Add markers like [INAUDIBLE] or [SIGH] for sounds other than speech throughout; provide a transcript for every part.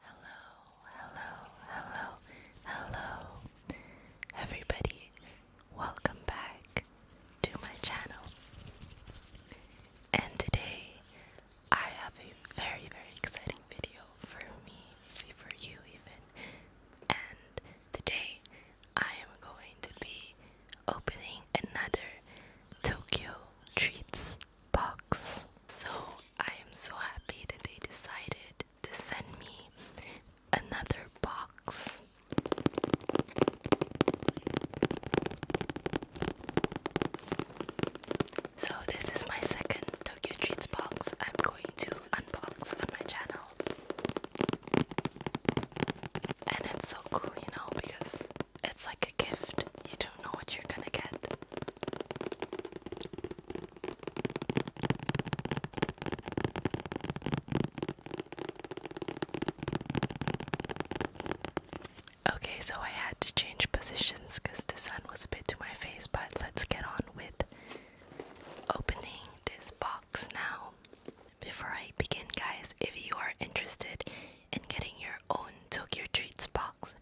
Hello, hello, hello, hello, everybody. Welcome back to my channel. And today I have a very, very exciting video for me, for you, even. And today I am going to be opening another Tokyo Treats box. So I am so happy that they decided to send me another box. So, this is my second Tokyo Treats box I'm going to unbox on my channel. And it's so cool, you know, because it's like a gift. You don't know what you're gonna get. Okay, so I had to change positions because the sun was a bit to my face, but let's get on with opening this box now. Before I begin, guys, if you are interested in getting your own Tokyo Treats box,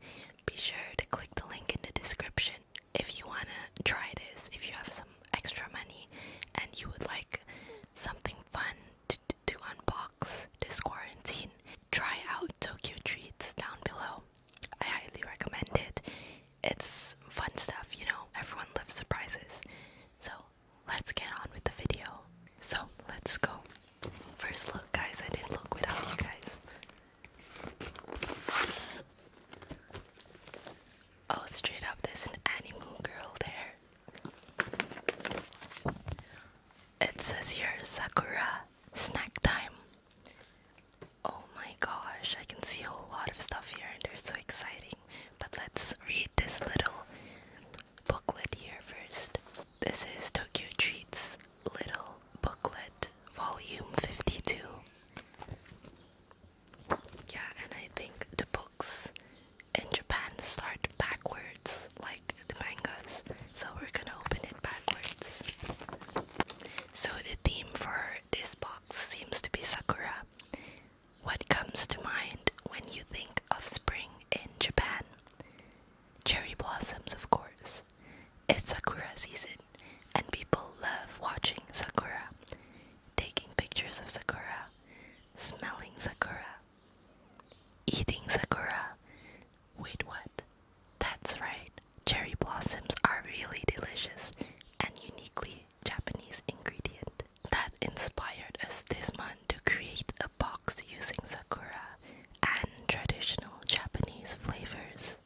be sure to click the link in the description if you want to try this, if you have some extra money and you would like something fun to, to unbox this quarantine, try out Tokyo Treats down below. I highly recommend it. It's fun stuff, you know, everyone loves surprises. So let's get on with the video. So let's go. First look, guys, I did not look without you guys. Oh, straight up, there's an anime girl there. It says here Sakura snack time. Oh my gosh, I can see a lot of stuff here and they're so exciting. But let's read this little booklet here first. This is Tokyo Treats Little booklet, volume 52. Yeah, and I think the books in Japan start backwards, like the mangas, so we're gonna open it backwards. So, the theme for this box seems to be Sakura. What comes to mind when you think of spring in Japan? Cherry blossoms, of course. It's Sakura season, and people love watching Sakura, taking pictures of Sakura, smelling Sakura, eating Sakura. Wait, what? That's right, cherry blossoms are really delicious and uniquely Japanese ingredient. That inspired us this month to create a box using Sakura and traditional Japanese flavors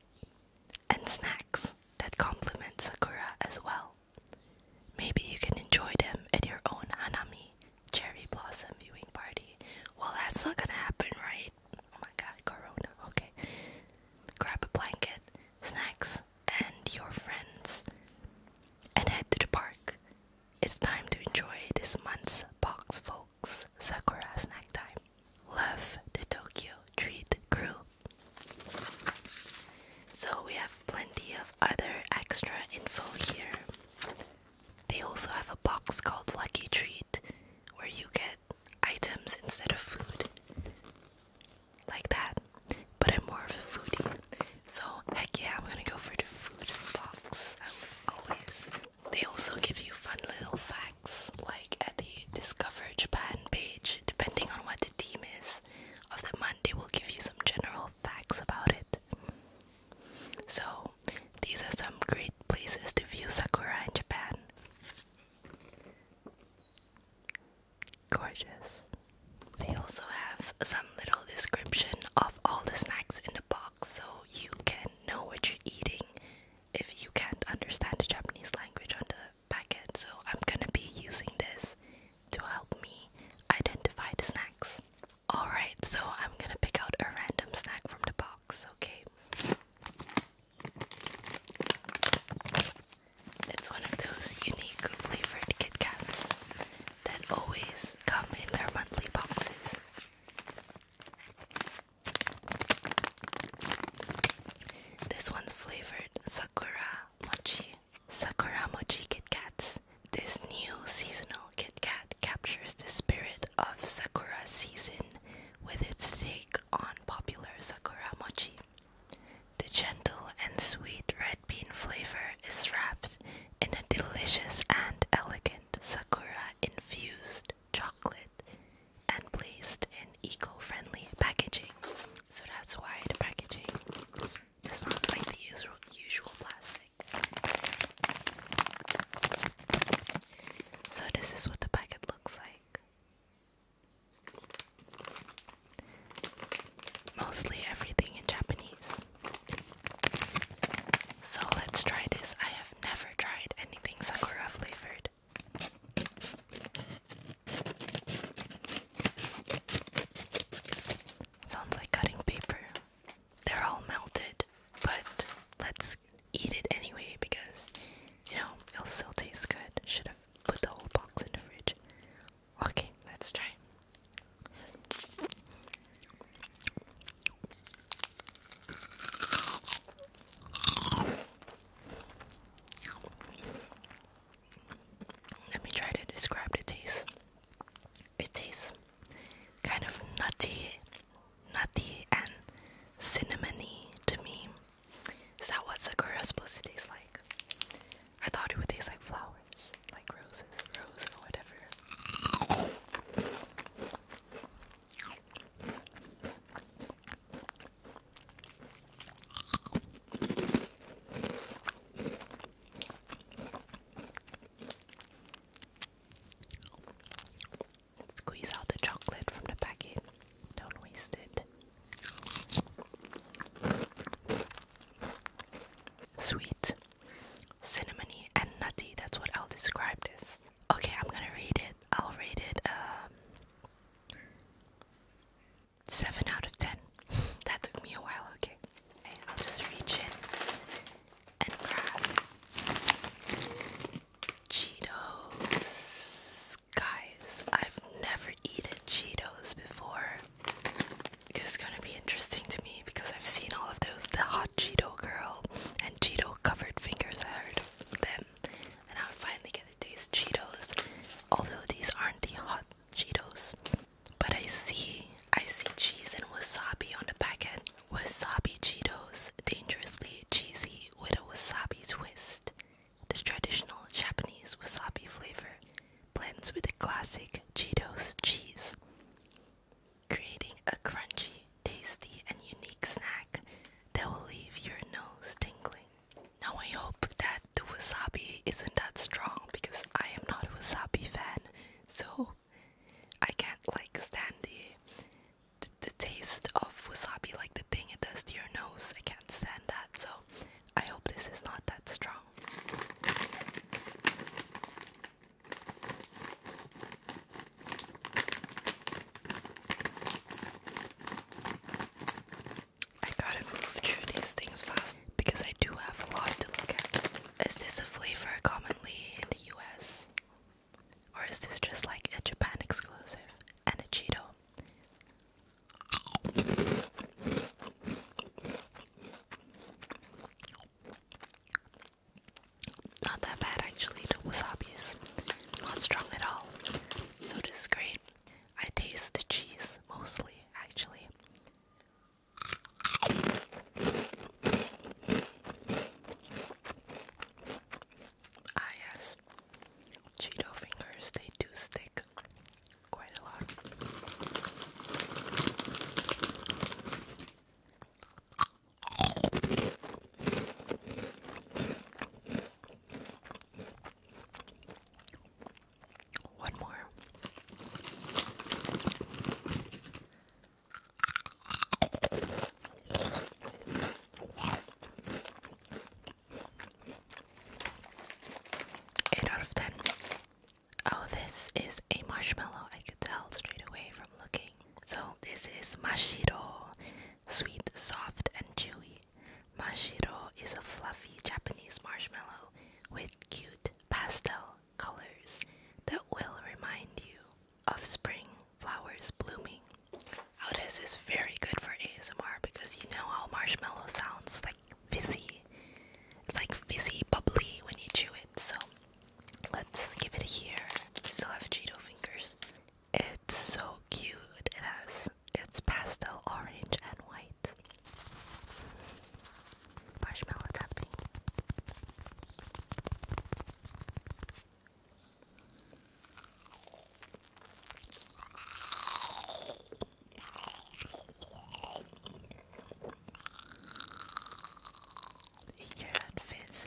and snacks that complement Sakura as well. Maybe you can enjoy them at your own Hanami cherry blossom viewing party. Well, that's not gonna happen, right? Oh my god, Corona. Okay. Grab a blanket, snacks, and your friends, and head to the park. It's time to enjoy this month's box, folks. Sakura snack time left the Tokyo Treat Crew. So we have plenty of other extra info here. They also have a box called Lucky Treat where you get items instead of food. Like that. But I'm more of a foodie. So heck yeah, I'm gonna go for the food box as always. They also give you fun little facts, like at the Discover Japan page, depending on what the theme is of the month, they will give you some general facts about it. So, these are some great places to view Sakura in Japan. Gorgeous. They also have some little description of all the snacks in the box so you can know what you're eating if you can't understand the Japanese language on the packet, so I'm gonna be using this to help me identify the snacks. Alright, so I'm gonna pick out a random snack from the box, okay? It's one of those unique flavored Kit Kats that always come in their monthly boxes. This one's flavored Sakura Mochi. Sakura Mochi Kit This new seasonal KitKat captures the spirit of Sakura season with its take on popular Sakura Mochi. The gentle and sweet red bean flavor is wrapped in a delicious and elegant Sakura infused chocolate and placed in eco-friendly packaging. So that's why the packaging is not like the usual usual plastic. So this is what the packet looks like. Mostly everything in Japanese. So let's try this. I have never tried anything Sakura flavored good. Sounds like cutting paper. They're all melted, but let's eat it anyway because, you know, it'll still taste good. Should have put the whole box in the fridge. Okay, let's try. Let me try to describe the taste. It tastes kind of nutty, nutty and cinnamony to me. Is that what Sakura is supposed to taste like? I thought it would taste like flowers, like roses, rose or whatever. Squeeze out the chocolate from the packet. Don't waste it. Sweet, cinnamony, and nutty. That's what I'll describe this. Okay, I'm gonna read it. I'll read it um, 7 out of 10. [LAUGHS] that took me a while, okay. I'll just reach in and grab Cheetos. Guys, I've never eaten Cheetos before. It's gonna be interesting to me because I've seen all of those the hot Cheeto girl and Cheeto covered fingers. I heard them, and I'll finally get these Cheetos, although these aren't the hot Cheetos. But I see, I see cheese and wasabi on the packet. Wasabi Cheetos, dangerously cheesy with a wasabi twist. This traditional Japanese wasabi flavor blends with the classic Cheetos cheese, creating a crunchy, tasty, and unique snack that will leave your nose tingling. Now I hope that the wasabi isn't that strong because I am not a wasabi fan, so I can't like stand the the, taste of wasabi, like the thing it does to your nose. I can't stand that, so I hope this is not that strong. I gotta move through these things fast because I do have a lot to look at. Is this a flavor commonly in the US? Or is this just like a Japan exclusive and a Cheeto? Not that bad actually, the wasabi is not strong at all, so discreet. I taste the cheese mostly, actually. Ah, yes, Cheeto fingers, they do stick quite a lot. One more. Eight out Oh, this is a marshmallow. I could tell straight away from looking. So this is mashiro, sweet, soft, and chewy. Mashiro is a fluffy Japanese marshmallow with cute pastel colors that will remind you of spring flowers blooming. Audes is very good for ASMR because you know how marshmallow sounds like fizzy. It's like fizzy, bubbly when you chew it. So let's give it a here. We still have Cheeto fingers. It's so cute. It has it's pastel orange and white. Marshmallow tapping. Eat your head fizz.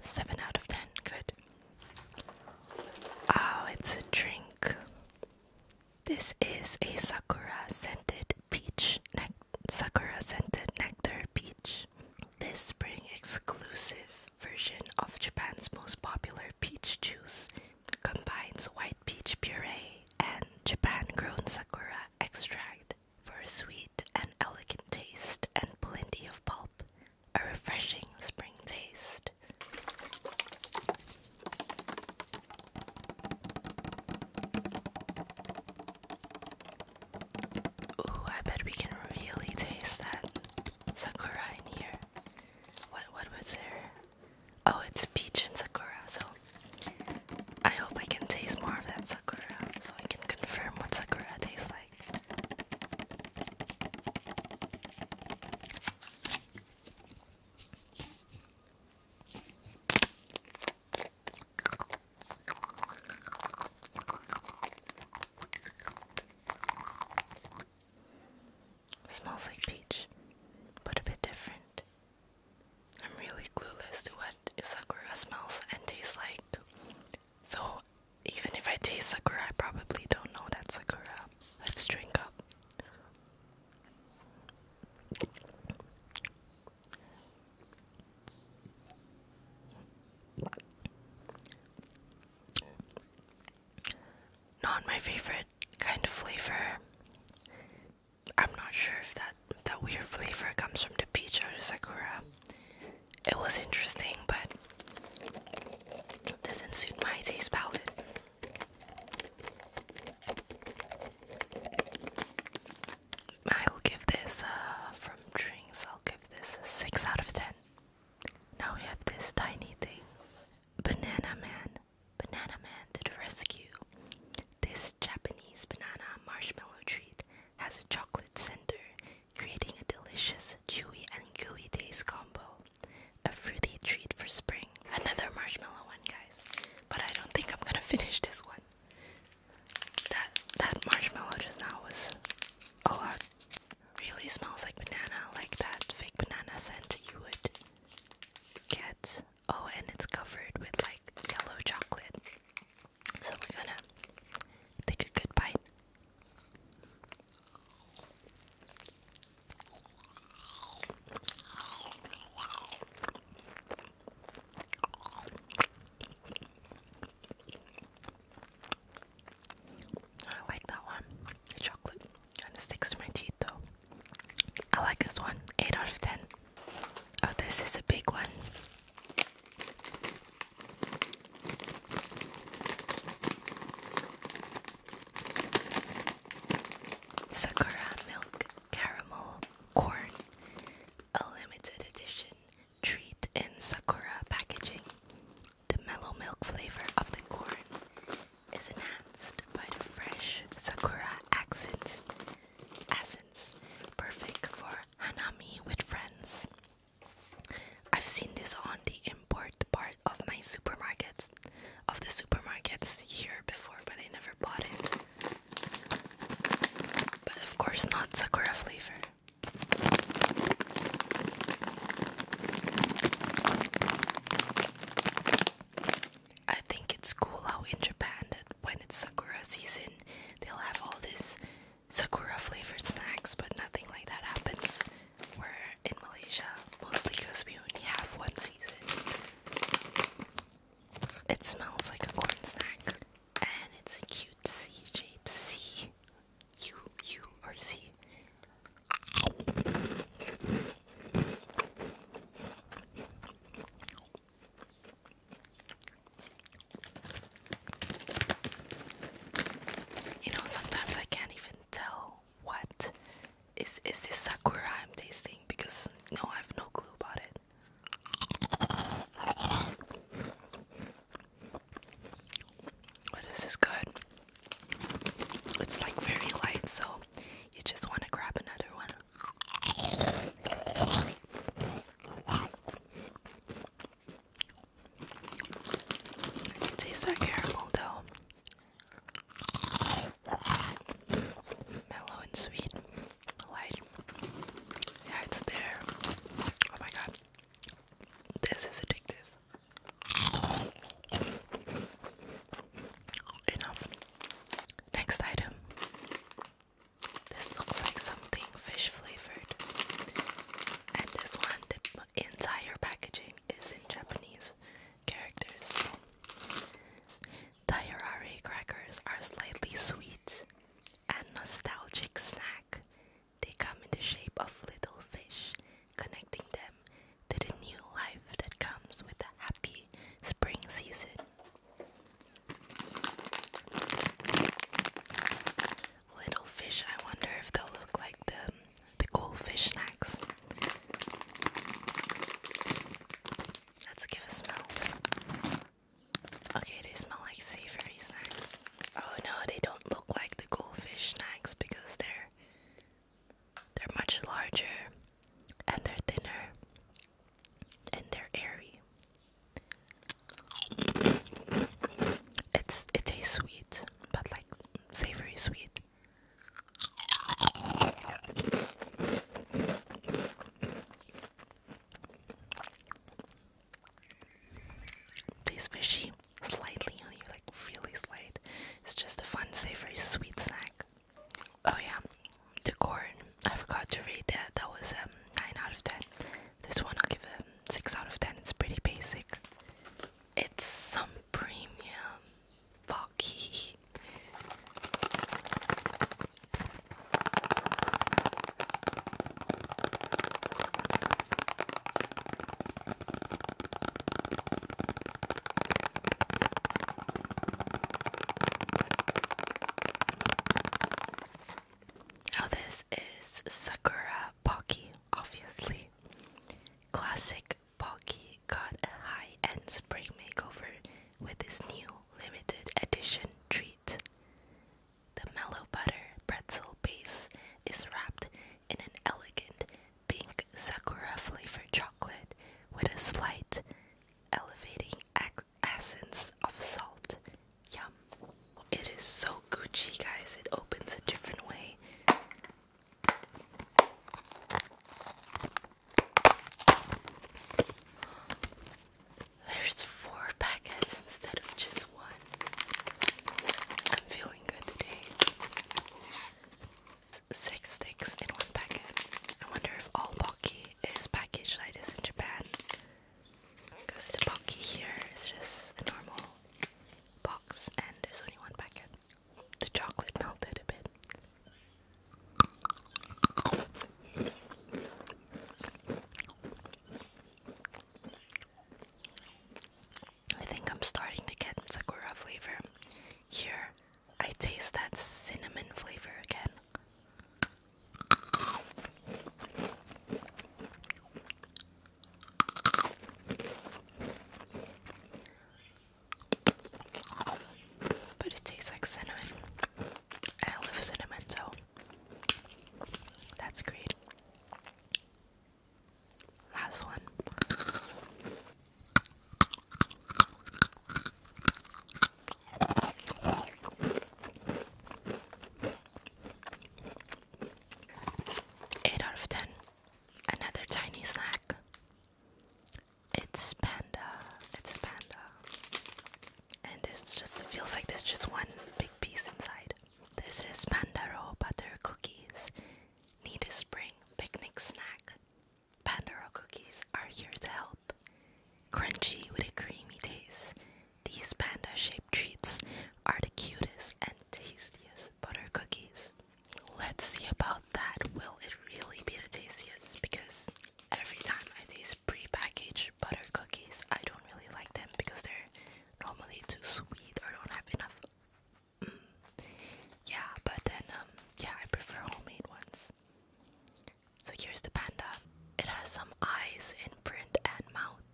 Seven out of ten, good. Oh, it's a drink. This is a sakura scented peach, ne sakura scented nectar peach. This spring exclusive version of Japan's most popular peach juice combines white peach puree and Japan grown sakura extract for a sweet and elegant taste and plenty of pulp, a refreshing spring taste. Ooh, I bet we can really taste that sakura in here. What what was there? Oh, it's peach and sakura. So I hope I can taste more of that sakura, so I can confirm what sakura tastes like. Smells like peach, but a bit different. I'm really clueless to what sakura smells and tastes like. So, even if I taste sakura, I probably don't know that sakura. Let's drink up. Not my favorite kind of flavor. I'm not sure if that that weird flavor comes from the peach or the sakura. It was interesting, but it doesn't suit my taste palette. I'll give this uh, from drinks. I'll give this a six out of ten. Now we have this tiny thing. Banana Man. Banana Man to the rescue. This Japanese banana marshmallow treat has a chocolate center, creating a delicious, chewy, and gooey taste combo. A fruity treat for spring. Another marshmallow one, guys. But I don't think I'm gonna finish this one. That that marshmallow just now was a lot really smells like banana, like that fake banana scent you would get. Oh, and it's covered with like yellow chocolate. So we're gonna take a good bite. I like that one. chocolate kind of sticks to my teeth though. I like this one. 8 out of 10. Oh, this is a big one. Sakura milk caramel corn. A limited edition treat in Sakura packaging. The mellow milk flavor of the corn is enhanced by the fresh sakura accents, perfect for hanami with friends. I've seen this on the import part of my supermarkets, of the supermarkets here before, but I never bought it. But of course, not sakura flavor. I think it's cool how in Japan that when it's sakura season, they'll have all this sakura flavored snacks, but nothing like that happens We're in Malaysia, mostly because we only have one season. It smells like a corn snack, and it's a cute C shaped sea U, U, or You know, sometimes I can't even tell what is is this sakura I'm tasting because no, I have no clue about it this is good. It's like very light, so you just want to grab another one. I can taste caramel though. Mellow and sweet. Light. Yeah, it's there. Oh my god. This is addictive. Enough. Next item. This looks like something fish flavored. And this one, the entire packaging is in Japanese characters. Tairare crackers are slightly sweet and nostalgic snack they come in the shape of little fish, connecting them to the new life that comes with the happy spring season. Little fish, I wonder if they look like the, the goldfish snacks. Let's give a smell. Okay, they smell like savory snacks. Oh no, they don't look like the goldfish snacks because they're they're much larger and they're thinner and they're airy. It's it tastes sweet, but like savory sweet. Tastes fishy, slightly on you, like really slight. It's just a fun, savory, sweet snack. Oh yeah, the corn. I forgot to rate that. That was um, nine out of ten. This one I'll give a um, six out of ten. It's pretty basic. It's some premium pocky. Now, this is Sakura Pocky, obviously. Classic Pocky got a high end spring makeover with this new limited edition treat. The mellow butter pretzel base is wrapped in an elegant pink sakura flavored chocolate with a slight elevating essence of salt. Yum. It is so Gucci, guys. It opens a different way. There's four packets instead of just one. Six sticks in one packet. I wonder if all Pocky is packaged like this in Japan. Because the Pocky here is just a normal box and there's only one packet. The chocolate melted a bit. I think I'm starting to get Sakura flavor. Here, I taste that cinnamon flavor again. But it tastes like cinnamon. I love cinnamon, so that's great. Last one. Eight out of ten. Another tiny snack. It's panda. It's a panda. And this just feels like there's just one big piece inside. This is Pandaro butter cookies. Need a spring picnic snack? Pandora cookies are here to help. Crunchy with a creamy taste. These panda shaped treats are the cutest and tastiest butter cookies. Let's see about that. Will it really be the tastiest? Because every time I taste pre-packaged butter cookies, I don't really like them because they're normally too sweet or don't have enough yeah, but then, um, yeah, I prefer homemade ones. So here's the panda. It has some eyes in print and mouth.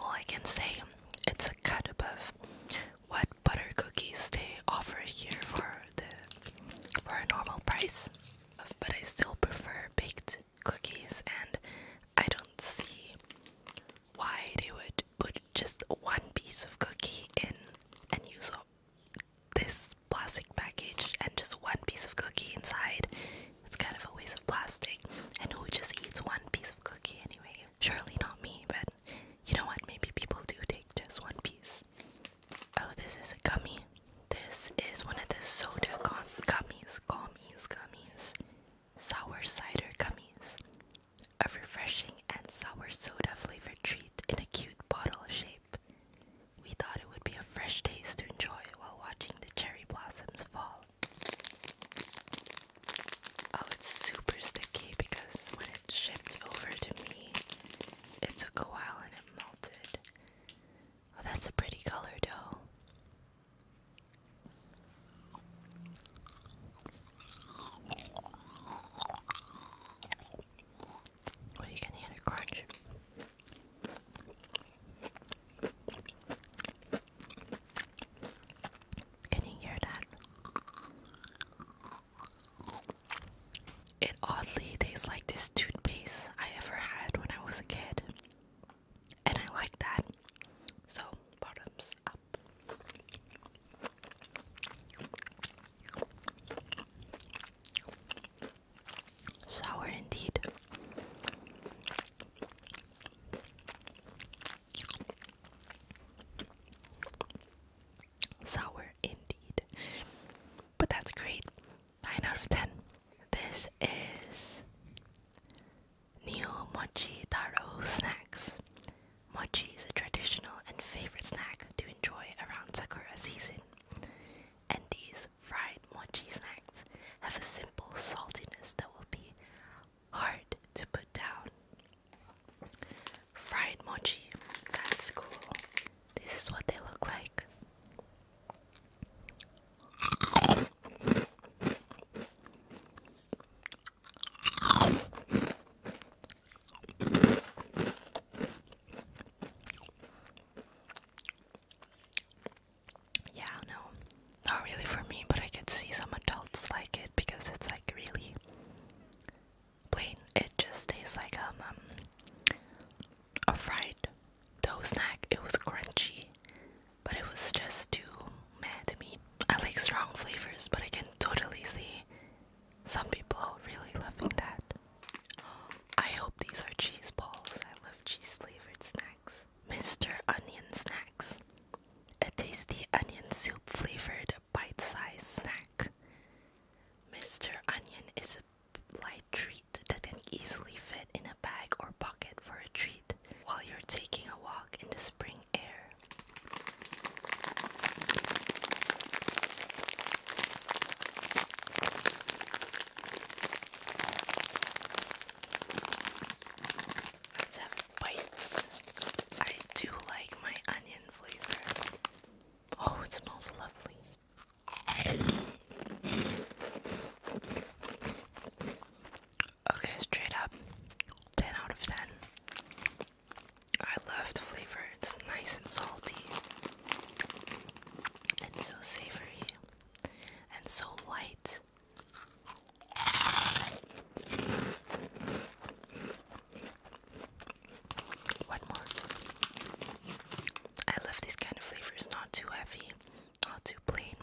All I can say, it's a cut above what butter cookies they offer here for the for a normal price. Uh, but I still prefer baked cookies and I don't see why they would put just one piece of cookie in and use up this plastic package and just one piece of cookie inside. It's kind of a waste of plastic. And who just eats one piece of cookie anyway? Surely not me, but you know what? Maybe people do take just one piece. Oh, this is a gummy. This is one of the soda gummies, gummies, gummies. Sour cider gummies. A refreshing and sour soda flavored treat in a cute bottle shape. We thought it would be a fresh taste to enjoy while watching the cherry blossoms fall. Oh, it's super sticky because when it shifts over to me, it took a while and it melted. Oh, that's a pretty color, though. Well, you can hear the crunch. Can you hear that? It oddly tastes like this toothpaste I ever had when I was a kid. And I like that. So, bottoms up. Sour indeed. Sour indeed. But that's great. 9 out of 10. This is Neo Mochi Taro Snacks. Mochi is a traditional and favorite snack to enjoy around Sakura season. And these fried mochi snacks have a simple saltiness that will be hard to put down. Fried mochi, that's cool. This is what they look like. Yeah, no, not really for me, but I could see some adults like it because it's like really plain. It just tastes like um, um a fried dough snack. It was crunchy, but it was just too mad to me. I like strong flavors, but I can totally see some people really loving that. I hope these are cheese balls. I love cheese flavored snacks. Mr. Onion Snacks. A tasty onion soup flavored bite sized snack. Mr. Onion is a light treat that can easily fit in a bag or pocket for a treat while you're taking a walk in the spring air. Let's have bites. I do like my onion flavor. Oh, it smells lovely. Okay, straight up 10 out of 10. I love the flavor, it's nice and salty, and so savory, and so light. One more. I love these kind of flavors, not too heavy, not too plain.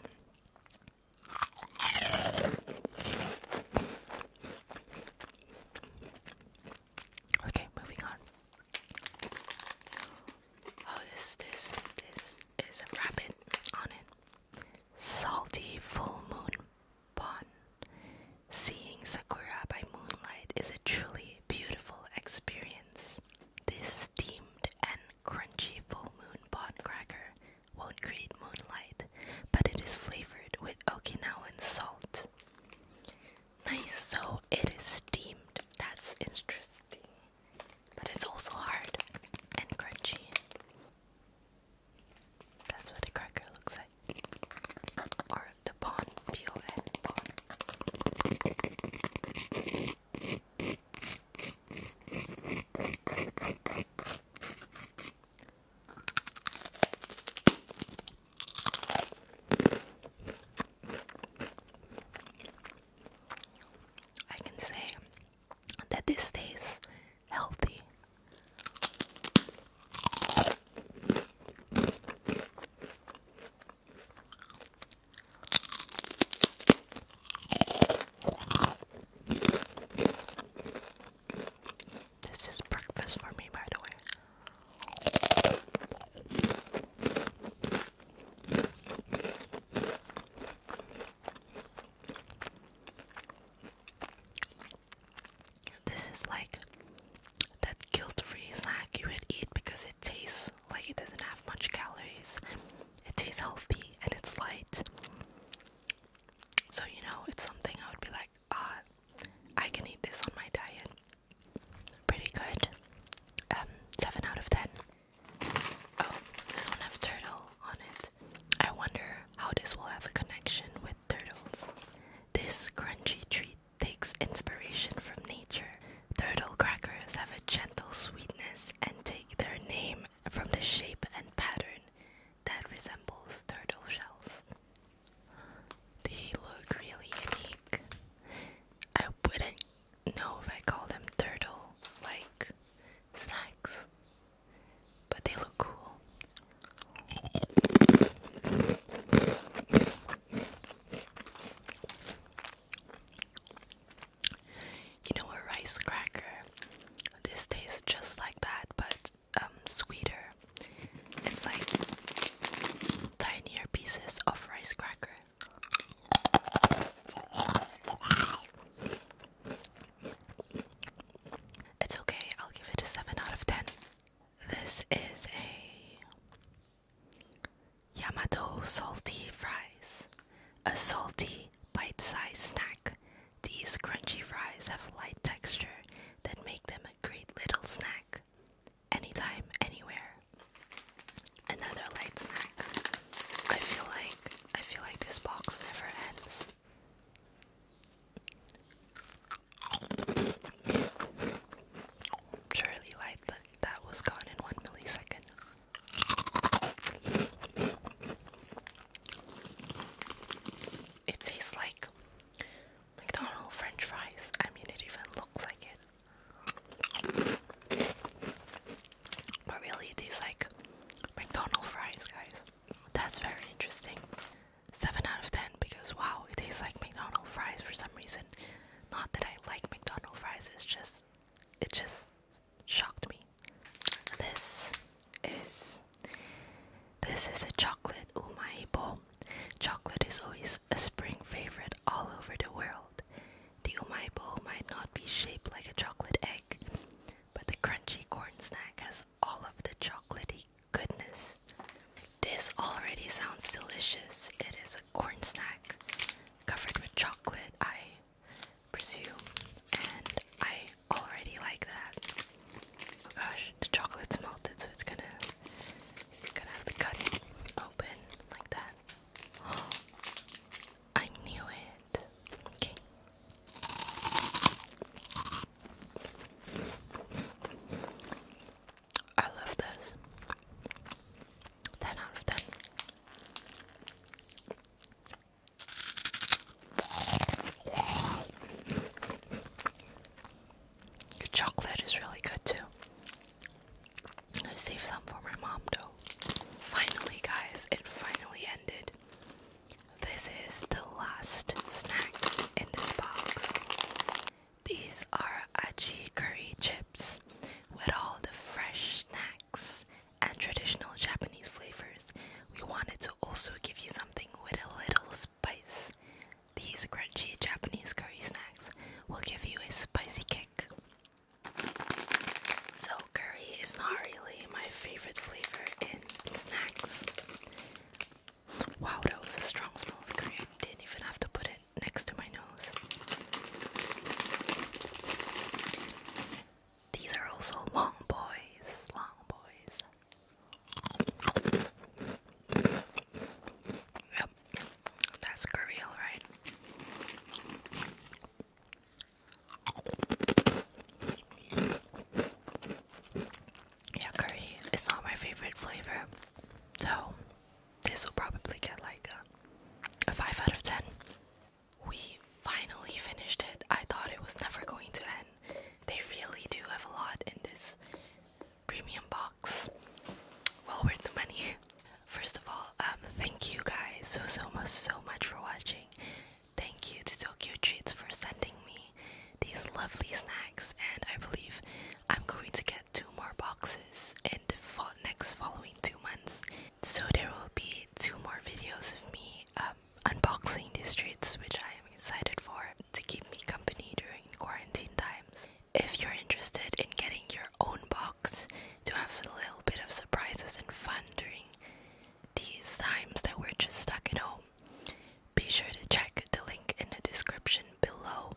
Okay, moving on. Oh, this, this, this is a rabbit on it. Salty full moon bun. Seeing Sakura by moonlight is a truly beautiful experience. This steamed and crunchy full moon bon cracker won't create moonlight, but it is flavored with Okinawan salt. Nice, so it is steamed. That's interesting. But it's also hard and crunchy. That's what a cracker looks like. Or the pond, P O N, can say that this stays healthy. This is breakfast for me, by the way. This is like that guilt-free snack you would eat because it tastes like it doesn't have much calories. It tastes healthy and it's light. So you know, it's something I would be like, ah, I can eat this on my diet. Pretty good. Um, seven out of ten. Oh, this one have turtle on it. I wonder how this will have a connection with turtles. This crunchy treat takes inspiration from nature. Turtle crackers have a gentle sweetness and take their name from the shape and pattern that resembles turtle shells. They look really unique. I wouldn't know if I call them turtle like snacks, but they look cool. You know, a rice cracker. This tastes just like that, but um, sweeter. It's like tinier pieces of rice cracker. It's okay, I'll give it a 7 out of 10. This is a Yamato salty fries. A salty, bite sized snack. These crunchy fries have a light texture that make them a great little snack. Anytime, anywhere. Another light snack. I feel like I feel like this box never ends. Surely, like that, that was gone in one millisecond. It tastes like McDonald's French fries. I mean, it even looks like it. But really, it tastes like McDonald's fries, guys. That's very interesting. 7 out of 10 because wow, it tastes like McDonald's fries for some reason. Not that I like McDonald's fries, it's just it just shocked me. This is this is a chocolate umaibo. Oh chocolate is always a spring favorite all over the world. The umaibo oh might not be shaped like a chocolate egg, but the crunchy corn snack has all of the chocolaty goodness this. already sounds delicious. It is a corn snack covered with chocolate, I presume, and I already like that. Oh gosh, the chocolate's melted, so it's gonna, it's gonna have to cut it open like that. Oh, [GASPS] I knew it. Okay. I love this. 10 out of 10. The chocolate is really good too. I'm gonna save some for my mom though. Finally, guys, it finally ended. This is the last snack in this box. These are aji curry chips with all the fresh snacks and traditional Japanese flavors. We wanted to also give you something with a little spice. These crunchy Japanese curry snacks will give you a spicy kick. So, curry is not really my favorite flavor in snacks. Wow, that was a strong smell of curry. didn't even have to put it next to my nose. These are also long boys, long boys. Yep, that's curry, alright. Yeah, curry It's not my favorite flavor, so this will probably get like a, 5 out of 10. We finally finished it. I thought it was never going to end. They really do have a lot in this premium box. Well worth the money. First of all, um, thank you guys so so much so much for watching. Thank you to Tokyo Treats for sending me these lovely snacks, and I believe I'm going to get two more boxes in the next following two months. So there will be two more videos of me um, unboxing these treats, which I am excited for to keep me company during quarantine times. If you're interested in getting your own box to have a little bit of surprises and fun during these times that we're just stuck at home, be sure to check the link in the description below